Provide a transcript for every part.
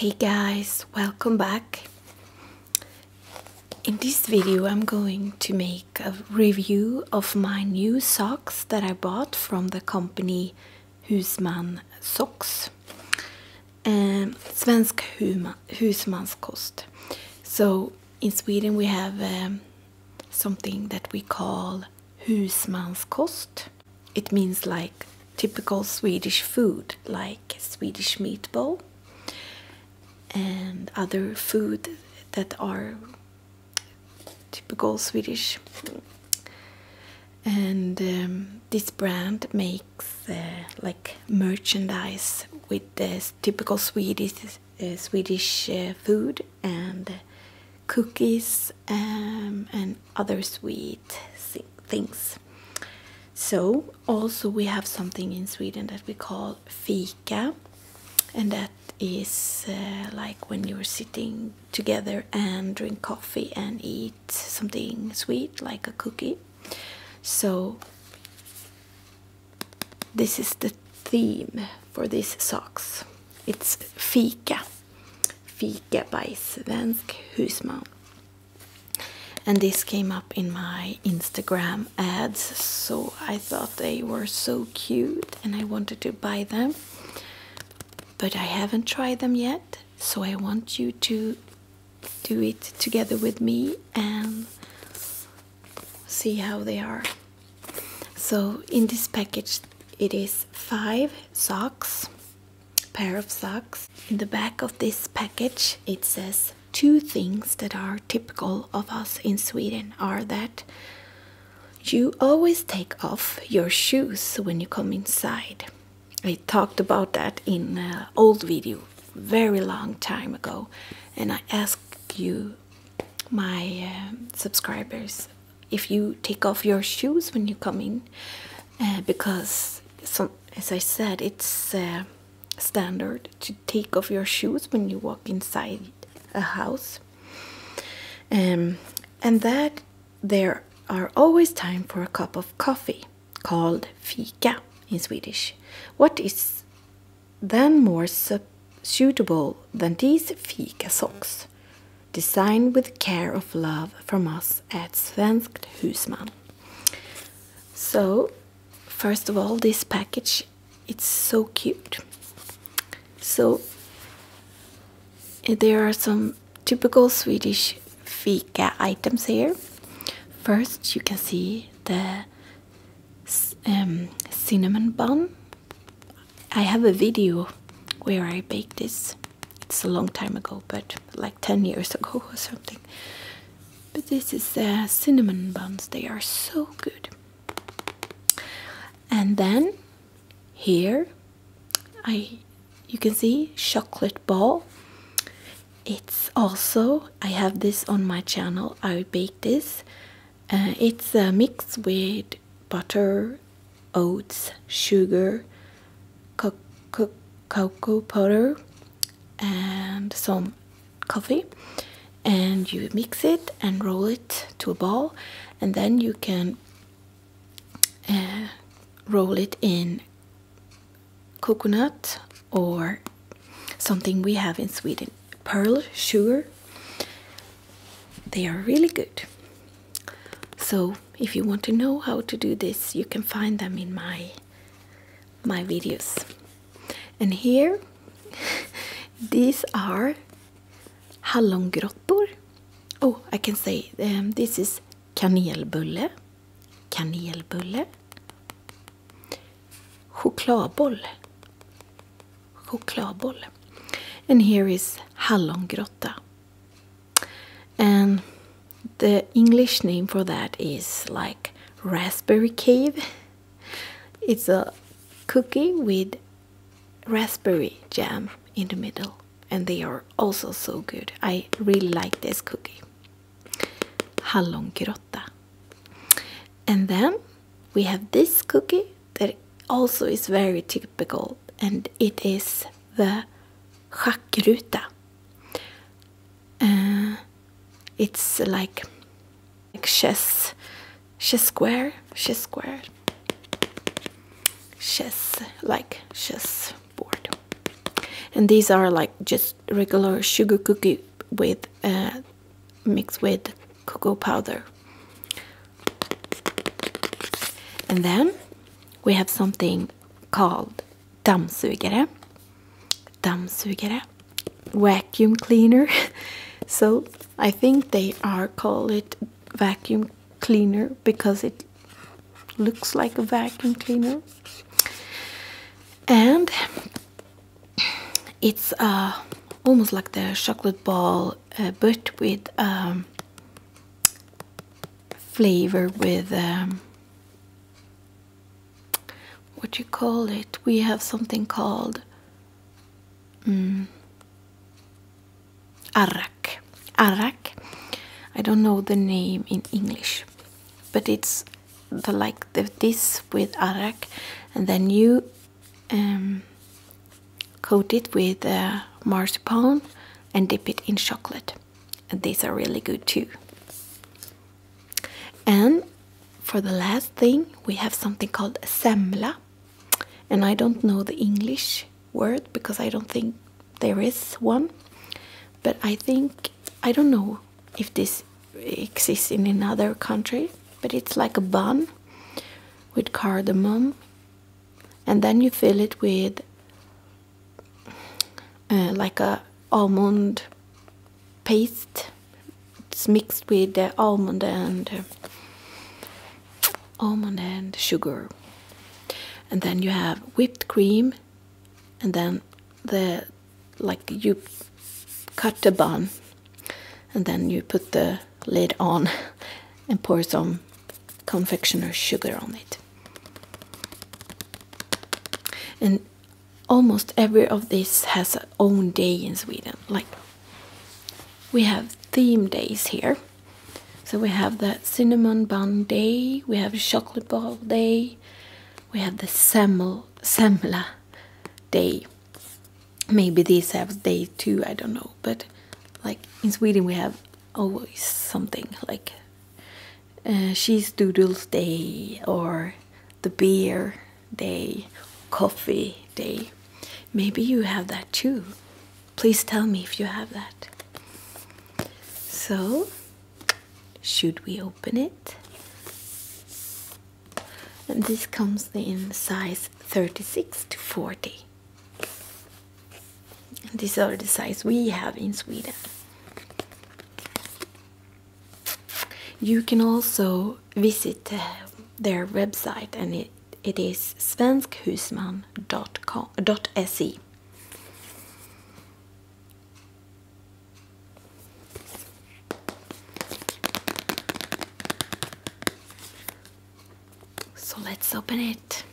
Hey guys, welcome back. In this video, I'm going to make a review of my new socks that I bought from the company Husman Socks. and Um, Husman Husmanskost. So in Sweden we have um, something that we call Husmanskost it means like typical Swedish food, like Swedish meatball and other food that are typical Swedish. And um, this brand makes uh, like merchandise with the typical Swedish uh, Swedish uh, food and cookies um, and other sweet things. So also we have something in Sweden that we call fika, and that is uh, like when you're sitting together and drink coffee and eat something sweet like a cookie. So this is the theme for these socks. It's fika. Fika by Svensk Husman. And this came up in my Instagram ads, so I thought they were so cute and I wanted to buy them. But I haven't tried them yet, so I want you to do it together with me and see how they are. So, in this package, it is five socks pair of socks. In the back of this package, it says two things that are typical of us in Sweden are that you always take off your shoes when you come inside. I talked about that in an old video very long time ago and I asked you my uh, subscribers if you take off your shoes when you come in uh, because as I said it's uh, standard to take off your shoes when you walk inside a house um, and that there are always time for a cup of coffee called fika in Swedish what is then more suitable than these fika socks Designed with care of love from us at Svenskt Husman. So, first of all, this package it's so cute. So, there are some typical Swedish fika items here. First, you can see the um, cinnamon bun I have a video where I bake this. It's a long time ago, but like 10 years ago or something. But this is cinnamon buns. They are so good. And then here I you can see chocolate ball. It's also I have this on my channel. I bake this uh, it's a uh, mix with butter, oats, sugar, cocoa powder, and some coffee. And you mix it and roll it to a ball, and then you can uh, roll it in coconut or something we have in Sweden pearl sugar they are really good. So if you want to know how to do this, you can find them in my my videos. And here these are hallongrottor. Oh, I can say um, this is kanelbulle, kanelbulle, chokladboll, chokladboll. And here is hallongrotta. And the English name for that is like raspberry cave. It's a cookie with raspberry jam in the middle and they are also so good. I really like this cookie. Hallongrotta. And then we have this cookie that also is very typical, and it is the schackruta. Uh, it's like, like chess, chess square, chess square, chess like chess board, and these are like just regular sugar cookie with uh, mixed with cocoa powder. And then we have something called dammsugare, dammsugare, vacuum cleaner. so I think they are call it vacuum cleaner because it looks like a vacuum cleaner. And it's uh, almost like the chocolate ball uh, but with um, flavor with um, what you call it we have something called um, mm, arak arak I don't know the name in English but it's the like this with arak and then you um, coat it with uh, marzipan and dip it in chocolate. these are really good too. And for the last thing, we have something called semla. And I don't know the English word because I don't think there is one. But I think, I don't know if this exists in another country, but it's like a bun with cardamom, and then you fill it with uh, like a almond paste. It's mixed with almond and uh, almond and sugar, and then you have whipped cream, and then the like you cut the bun and then you put the lid on and pour some confectioner sugar on it. And almost every of this has own day in Sweden. Like we have theme days here. So we have the cinnamon bun day, we have chocolate ball day, we have the semmel, semla day maybe these have day too. i don't know but like in sweden we have always something like she's uh, doodles day or the beer day coffee day maybe you have that too please tell me if you have that so should we open it and this comes in size 36 to 40 these are the size we have in Sweden you can also visit uh, their website and it, it is svenskhusman.se so let's open it.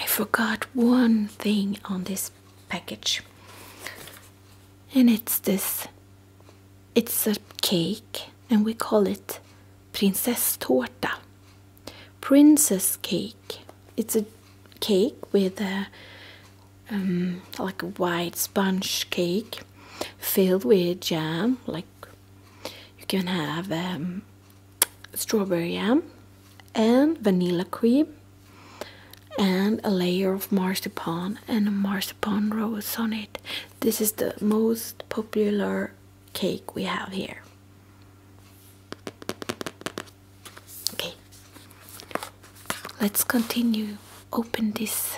I forgot one thing on this package, and it's this it's a cake, and we call it princess Prinsesstårta princess cake. It's a cake with a um, like a white sponge cake filled with jam. Like you can have um, strawberry jam and vanilla cream and a layer of marzipan and a marzipan rose on it. This is the most popular cake we have here. Okay, let's continue. Open this.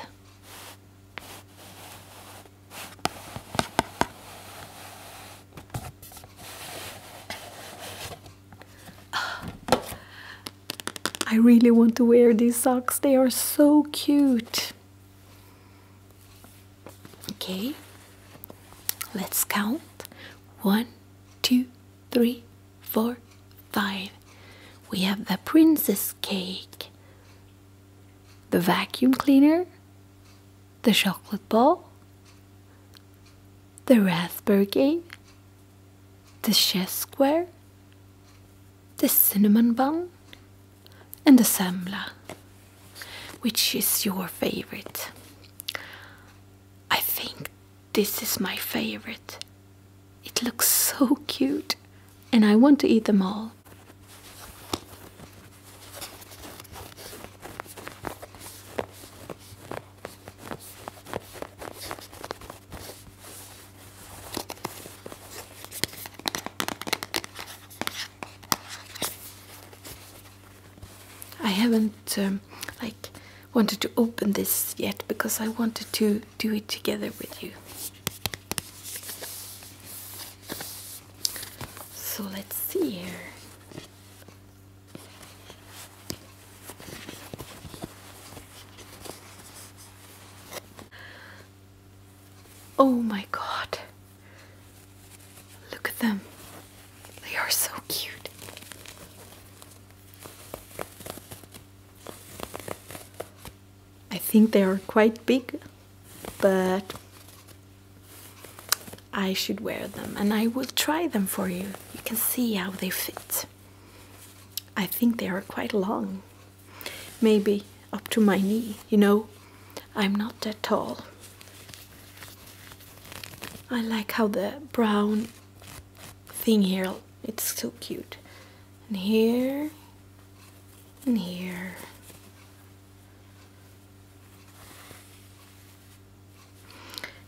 I really want to wear these socks. They are so cute. Okay, let's count one, two, three, four, five. We have the princess cake, the vacuum cleaner, the chocolate ball, the raspberry the chess square, the cinnamon bun, and the sembla, which is your favorite. I think this is my favorite. It looks so cute, and I want to eat them all. I haven't um, like wanted to open this yet because I wanted to do it together with you. So let's see here. Oh my god. Look at them. They are so cute. I think they are quite big, but I should wear them and I will try them for you. You can see how they fit. I think they are quite long maybe up to my knee, you know. I'm not that tall. I like how the brown thing here it's so cute. And here and here.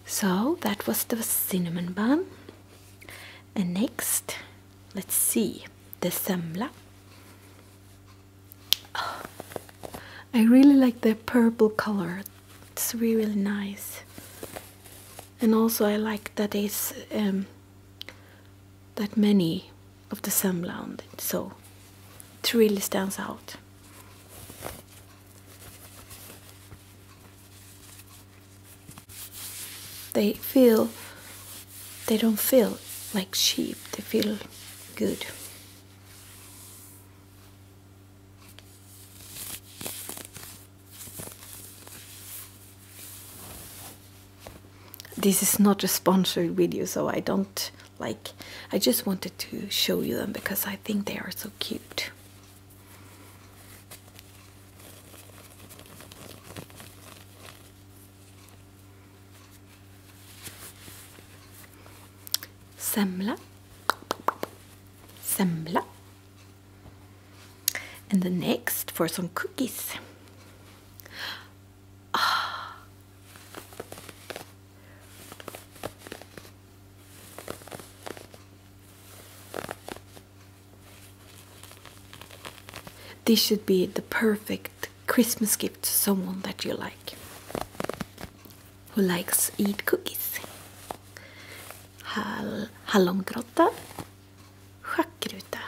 So that was the cinnamon bun. And next, let's see, the semla. I really like the purple color. It's really, nice. And also I like that it's um, that many of the semblance, so it really stands out. They feel they don't feel like sheep, they feel good. This is not a sponsored video, so I don't like, I just wanted to show you them because I think they are so cute semla, semla. And the next for some cookies. This should be the perfect Christmas gift to someone that you like who likes eat cookies. Hall hallongrotta, schackruta.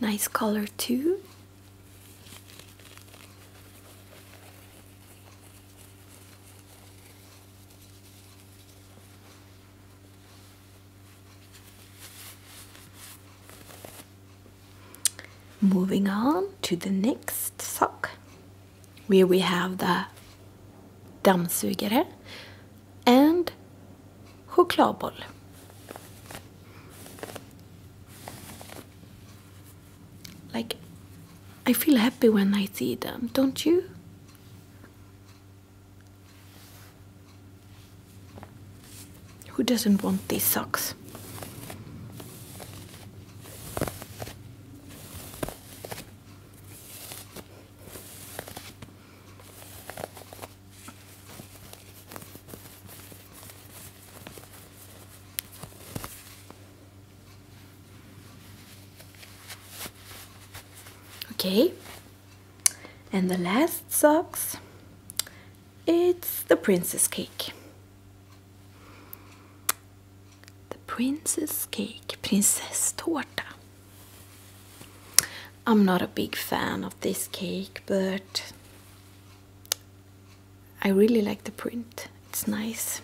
Nice color too. Moving on to the next sock, where we have the dammsugare and chokladboll. Like, I feel happy when I see them, don't you? Who doesn't want these socks? okay and the last socks it's the princess cake the princess cake princess prinsesstårta I'm not a big fan of this cake but I really like the print it's nice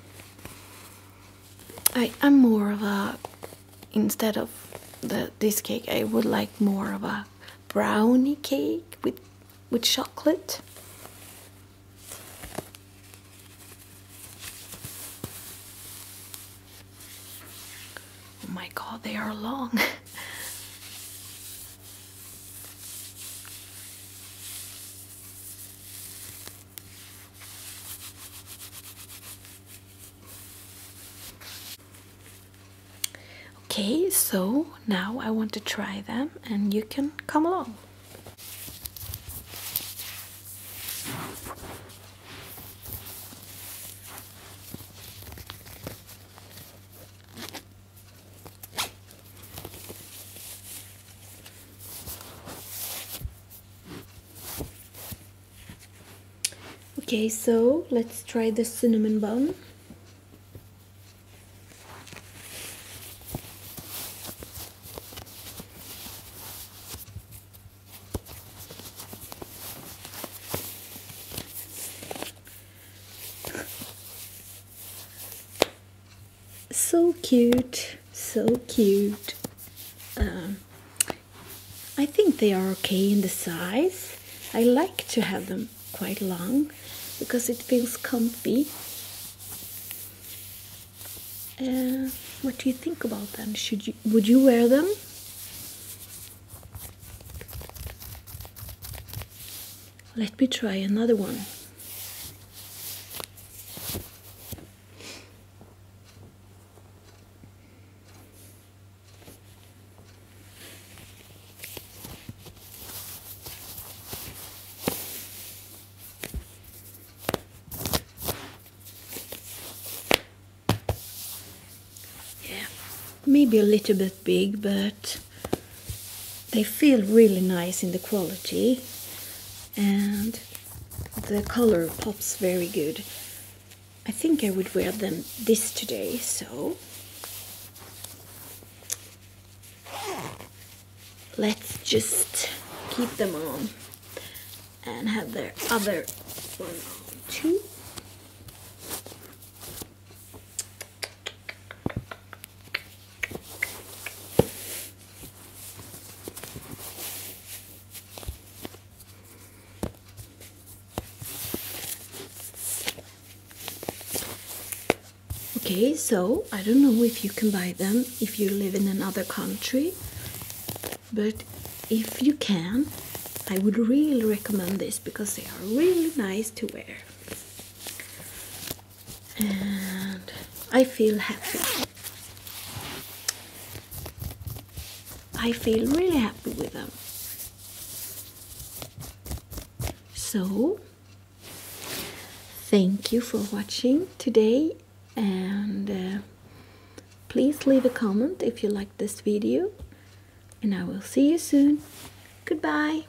I, am more of a instead of the this cake I would like more of a brownie cake with with chocolate. Oh my god, they are long. Okay, so now I want to try them and you can come along. Okay, so let's try the cinnamon bun so cute, so cute. Um, I think they are okay in the size. I like to have them quite long because it feels comfy. Uh, what do you think about them? Should you would you wear them? Let me try another one. Yeah, maybe a little bit big, but they feel really nice in the quality and the color pops very good. I think I would wear them this today, so let's just keep them on and have their other one too. Okay, so I don't know if you can buy them if you live in another country, but if you can, I would really recommend this because they are really nice to wear and I feel happy. I feel really happy with them. So, thank you for watching today and uh, please leave a comment if you liked this video and I will see you soon. Goodbye!